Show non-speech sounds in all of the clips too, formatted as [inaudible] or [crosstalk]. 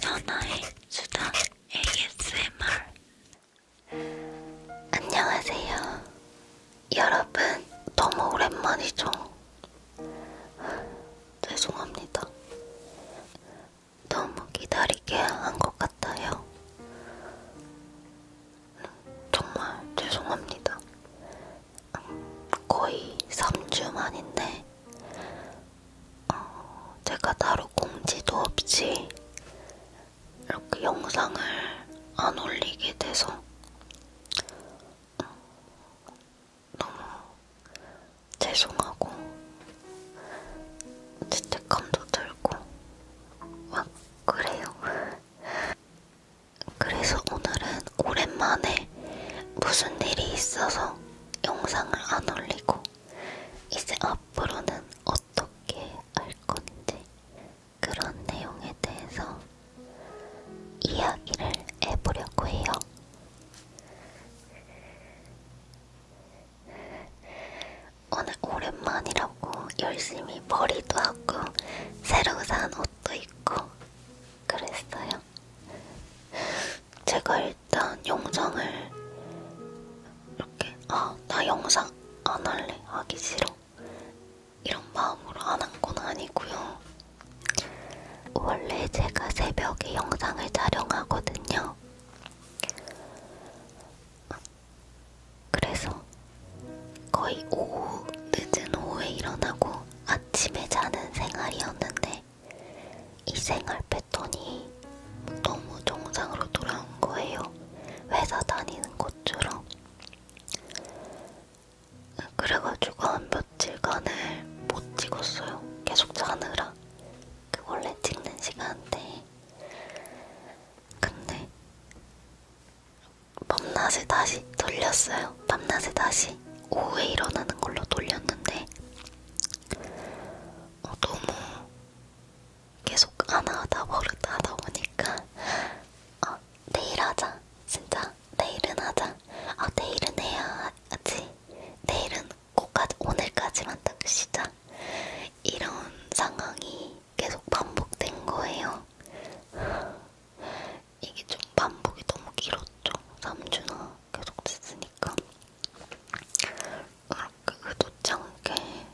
전화의 수다 ASMR 안녕하세요. 여러분, 너무 오랜만이죠? 죄송합니다. 너무 기다리게 한 것 같아요. 정말 죄송합니다. 거의 3주 만인데 어, 제가 따로 공지도 없이 이렇게 영상을 안 올리게 돼서 어, 너무 죄송하고 죄책감도 들고 막 그래요. 그래서 오늘은 오랜만에 무슨 일이 있어서 영상을 안 올리고 이제 앞으로는 어떻게 할 건지 그런 내용에 대해서 이야기를 해보려고 해요. 오늘 오랜만이라고 열심히 머리도 하고 새로 산 옷도 입고 그랬어요. 제가 일단 영상을 이렇게 아 나 영상 안 할래 하기 싫어 이런 마음으로 안 한 건 아니고요. 원래 제가 새벽에 영상을 촬영하거든요. 그래서 거의 오후, 늦은 오후에 일어나고 아침에 자는 생활이었는데 이 생활 패턴이 너무 정상으로 돌아온 거예요. 회사 다니는 것처럼. 그래가지고 한 며칠간을 못 찍었어요. 계속 자느라. 그 원래 찍는 시간대. 근데 밤낮에 다시 돌렸어요. 밤낮에 다시 오후에 일어나는 걸로 돌렸는데 어, 너무 계속 하나 하다 버릇 하다 보니까 어, 내일 하자 진짜 내일은 하자 아 어, 내일은 해야 하지 내일은 꼭까지 오늘까지만 딱 쉬자 이런 상황이 계속 반복된 거예요. [laughs] 이게 좀 반복이 너무 길었죠. 3주나 계속 됐으니까. 이렇게 의도치 않게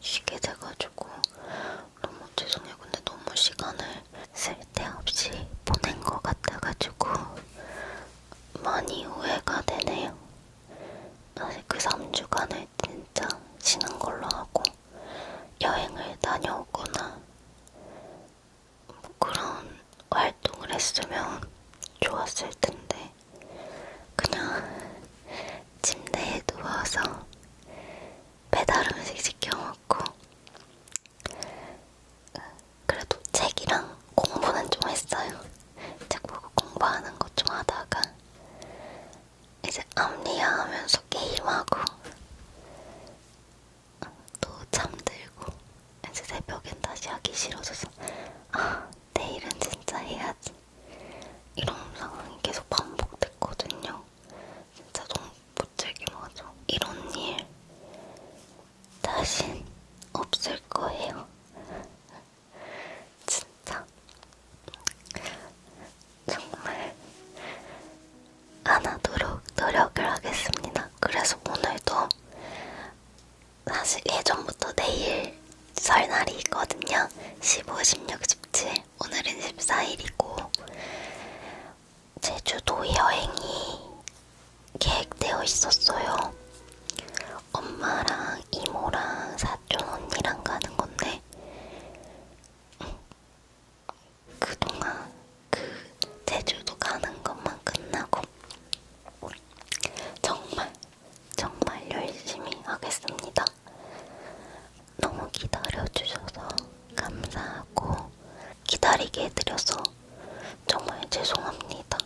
쉬게 돼가지고 너무 죄송해요. 근데 너무 시간을 쓸데없이 보낸 것 같아가지고 많이 오해가 되네요. 사실 그 3주간을 진짜 쉬는 걸로 하고 여행을 다녀오거나 뭐 그런 활동을 했으면 좋았을 텐데 그냥 침대에 누워서 배달 음식 시켜 먹고 그래도 책이랑 공부는 좀 했어요. 책 보고 공부하는 것 좀 하다가 이제 암리야 하면서 게임하고 또 잠들고 이제 새벽엔 다시 하기 싫어져서 아 내일은 진짜 해야지 이런 상황이 계속 반복됐거든요 진짜 너무 못즐기하죠 이런 일 다신 없을 거예요 진짜 정말 안 하도록 노력을 하겠습니다. 그래서 오늘도 사실 예전부터 내일 설날이 있거든요. 15, 16, 17 오늘은 14일이고 제주도 여행이 계획되어 있었어요. 엄마랑 이모랑 사 사촌 언니랑 가는 건데 그동안 그 제주도 가는 것만 끝나고 정말 정말 열심히 하겠습니다. 너무 기다려주셔서 감사하고 기다리게 해드려서 정말 죄송합니다.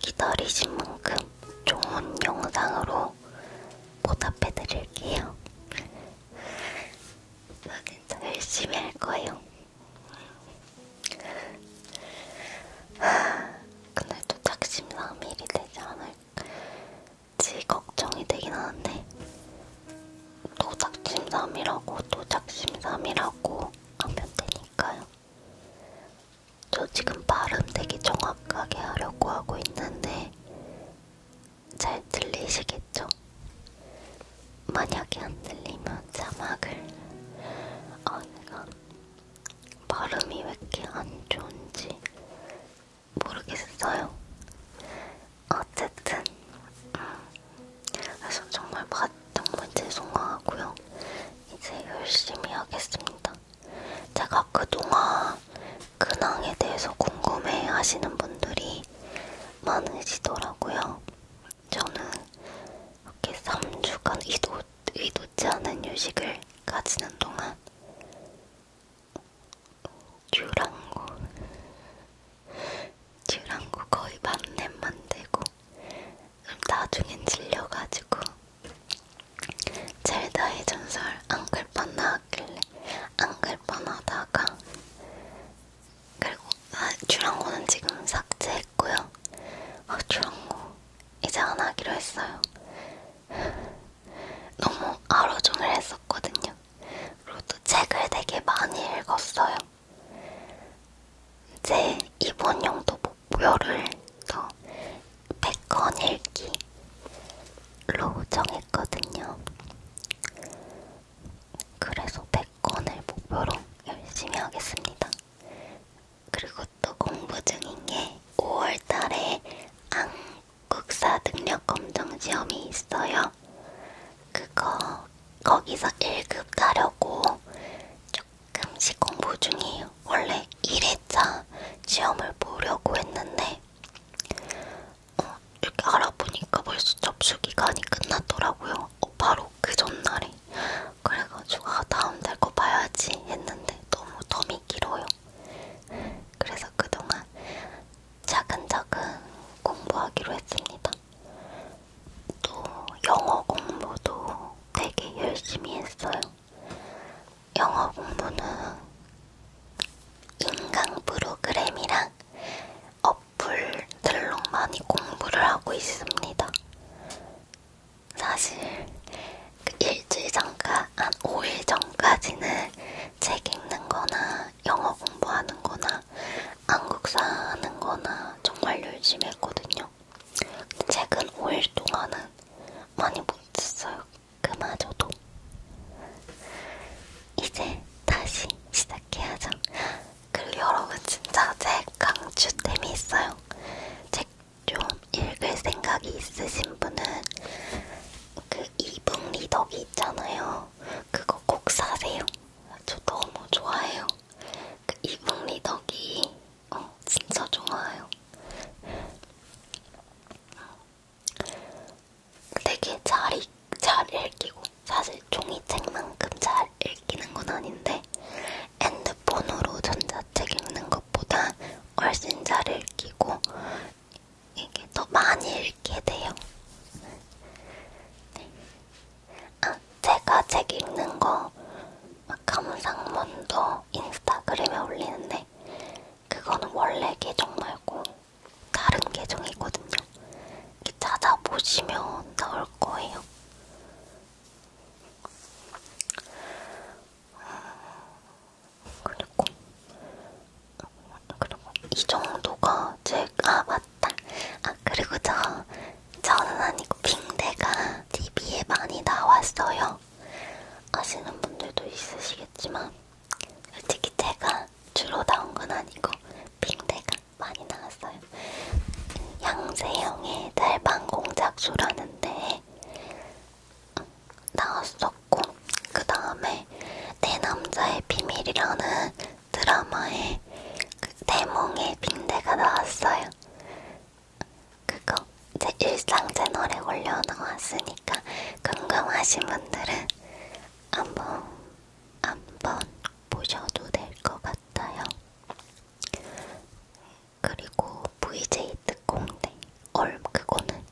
기다리신 만큼 좋은 영상으로 보답해 드릴게요. 진짜 열심히 할 거예요. 그날도 작심 3일이 되지 않을지 걱정이 되긴 하는데 또 작심 3일하고 또 작심 3일하고 하면 되니까요. 저 지금 발음 되게 정확하게 하려고 하고 있는데 잘 들리시겠죠? 만약에 안 들리면 자막을 아 어, 내가 발음이 왜 이렇게 안 좋은지 모르겠어요. 어쨌든 음, 그래서 정말 정말 죄송하고요. 이제 열심히 하겠습니다. 제가 그동안 근황에 대해서 궁금해 하시는 분들이 많으시더라고요. 저는 이렇게 3주간 의도, 의도치 않은 유식을 가지는 동안 듀랑고 듀랑고 거의 만렙 만들고 나중엔 질려가지고 젤다의 전설 안글뻔 나왔길래 안글뻔 하다가 그리고 아, 주랑고는 지금 삭제했고요 아 주랑고 이제 안 하기로 했어요 너무 하루종일 했었거든요 그리고 또 책을 되게 많이 읽었어요 이제 이번 용도 못 목요를 더 100권 읽기로 정했거든요. 그래서 100권을 목표로 열심히 하겠습니다. 그리고 또 공부 중인 게 5월 달에 한국사 능력 검정 시험이 있어요. 그거 거기서 1급 따려고 쭉 가끔씩 공부 중이에요. 원래 1회차 시험을 보려고 했는데 어, 이렇게 알아보니까 벌써 접수 기간이 끝났더라고요. 어, 바로 그 전날에. 그래가지고 아, 다음 달 거 봐야지 했는데 너무 덤이 길어요. 그래서 그동안 차근차근 공부하기로 했습니다. 또 영어 공부도 되게 열심히 했어요. 영어 공부는 인강 프로그램이랑 어플들로 많이 공부를 하고 있습니다. 사실 그 일주일 전까 한 5일 전까지는 책 읽는 거나 영어 공부하는 거나 한국사 하는 거나 정말 열심히 했거든요. 최근 5일 동안은 많이 못 썼어요. 그마저도. 이제 다시 시작해야죠. 그리고 여러분 진짜 제 강추템이 있어요. 책 좀 읽을 생각이 있으신 분은 그 이북 리더기 있잖아요. 그거 꼭 사세요. 저 너무 좋아해요. 그 이북리 덕이 어, 진짜 좋아요. 되게 잘, 읽, 잘 읽히고 사실 종이책만큼 잘 읽히는 건 아닌데 핸드폰으로 전자책 읽는 것보다 훨씬 잘 읽히고 이게 더 많이 읽게 돼요. 네. 아, 제가 책 읽는 거 감상문도 인스타그램에 올리는데 그거는 원래 계정 말고 다른 계정이거든요. 찾아보시면 나올 거예요. 그리고 그리고 이 정도가 제가 아, 맞다. 맞다. 아 그리고 저 저는 아니고 빙대가 TV에 많이 나왔어요. 아시는 분들도 있으시겠지만 솔직히 제가 주로 나온 건 아니고 빙대가 많이 나왔어요. 양세형의 달방 공작소라는데 나왔었고 그 다음에 내 남자의 비밀이라는 드라마에 그 대몽의 빈대가 나왔어요. 그거 제 일상 채널에 올려놓았으니까 궁금하신 분들은 한번 한번 보셔도 될 것 같아요. 그리고 VJ 특공대 얼 그거는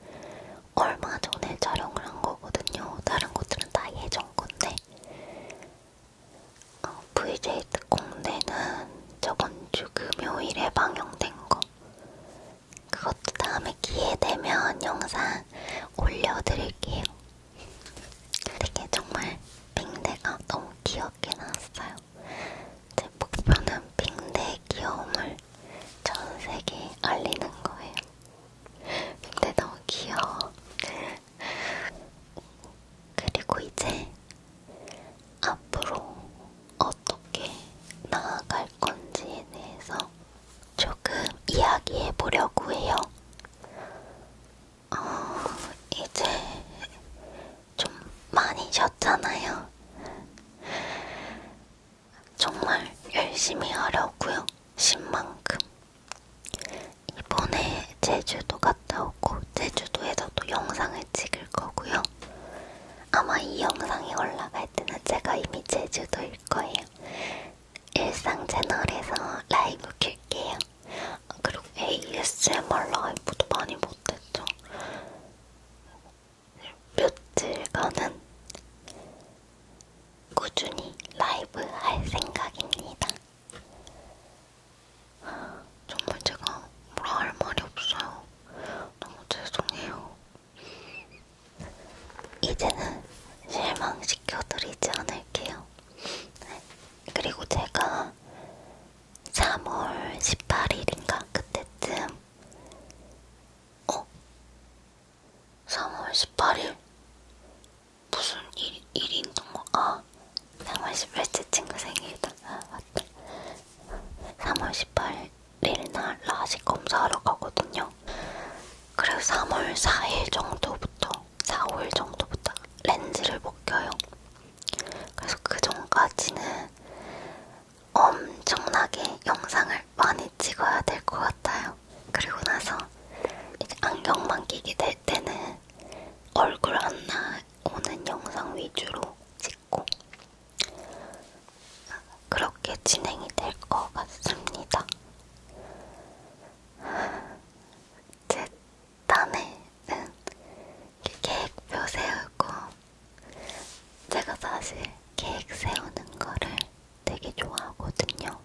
얼마 전에 촬영을 한 거거든요. 다른 것들은 다 예전 건데 어, VJ 특공대는 저번 주 금요일에 방영된 거 그것도 다음에 기회 되면 영상 올려드릴게요. 되게 정말 빙대가 너무 귀엽게 나왔어요. 제 목표는 빙대의 귀여움을 전 세계에 알리는 거예요. 빙대 너무 귀여워. 그리고 이제 앞으로 어떻게 나아갈 건지에 대해서 조금 이야기해 보려고 해요. 어, 이제 좀 많이 쉬었잖아요. 정말 열심히 하려고요. 쉰 만큼. 이번에 제주도 갔다 오고 제주도에서도 영상을 찍을 거고요. 아마 이 영상이 올라갈 때는 제가 이미 제주도일 거예요. 일상 채널에서 라이브 킬게요. 그리고 ASMR 라이브도 많이 못했죠. 며칠간은 꾸준히 라이브 할 생각입니다. 정말 제가 뭐라 할 말이 없어요. 너무 죄송해요. 이제는 실망시켜드리지 않을게요. 네. 그리고 제가 3월 18일인가 그때쯤 어? 3월 18일 무슨 일, 일이 있던 거? 아 3월 18일 제 친구 생일이다 아, 맞다 3월 18일 날 라식 검사하러 가거든요 그래서 3월 4일 정도부터 4, 5일 정도부터 렌즈를 못 껴요 그래서 그 전까지는 엄청나게 영상을 많이 찍어야 될 것 같아요. 그리고 나서 이제 안경만 끼게 될 때는 얼굴 안 나오는 영상 위주로 찍고 그렇게 진행이 될 것 같습니다. 제 딴에는 계획표 세우고 제가 사실 계획 세우는 거를 되게 좋아하거든요.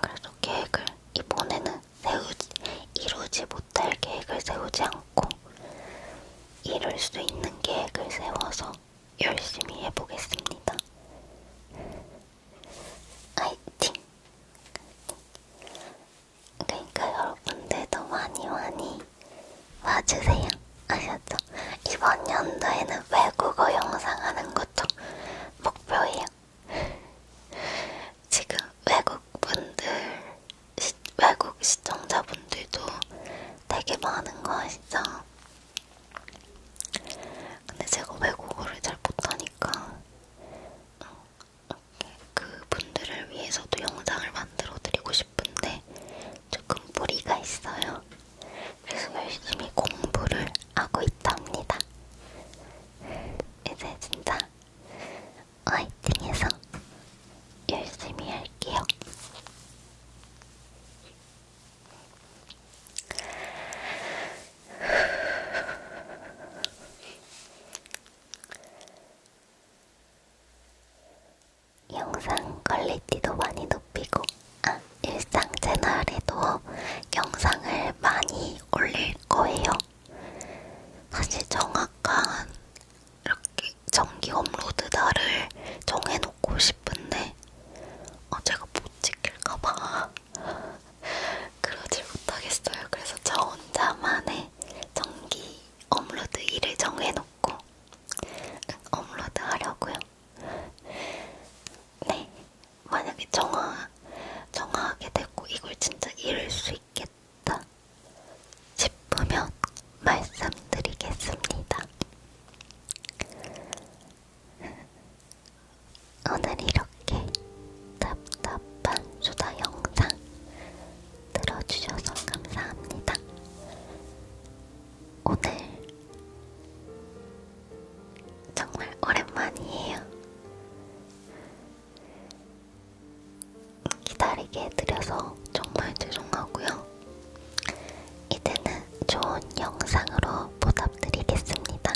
그래서 계획을 이번에는 세우지, 이루지 못할 계획을 세우지 않고 이룰 수 있는 계획을 세워서 열심히 해보겠습니다. 화이팅! 그러니까 여러분들도 많이 많이 와주세요. 아셨죠? 이번 연도에는 외국어 영상 하는 것도 목표예요. 지금 외국분들, 시, 외국 시청자분들도 되게 많은 거 아시죠? 근데 제가 외국어를 잘 못하니까 음, 그분들을 위해서도 영상을 만들어 드리고 싶은데 조금 무리가 있어요. 그래서 열심히 공부를 하고 있답니다. 이제 진짜 화이팅해서 열심히 할게요. 영상 퀄리티도 많이 높이고 아, 일상 채널에도 영상을 많이 올릴 거예요. 사실 정확한 이렇게 정기 업로드 날을 정해놓고 싶은데 어, 제가 못 지킬까봐 [laughs] 그러질 못하겠어요. 그래서 저 혼자만의 정기 업로드 일을 정해놓고 업로드 하려고요. 네, 만약에 정화, 정화하게 되고 이걸 진짜 이룰 수 있겠다 싶으면 말씀드리겠습니다. 오늘 이렇게 답답한 수다 영상 들어주셔서 감사합니다. 오늘 정말 오랜만이에요. 기다리게 해드려서 정말 죄송하고요. 이제는 좋은 영상으로 보답드리겠습니다.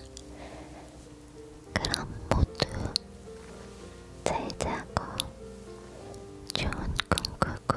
그럼 모두 잘 자고 좋은 꿈 꾸고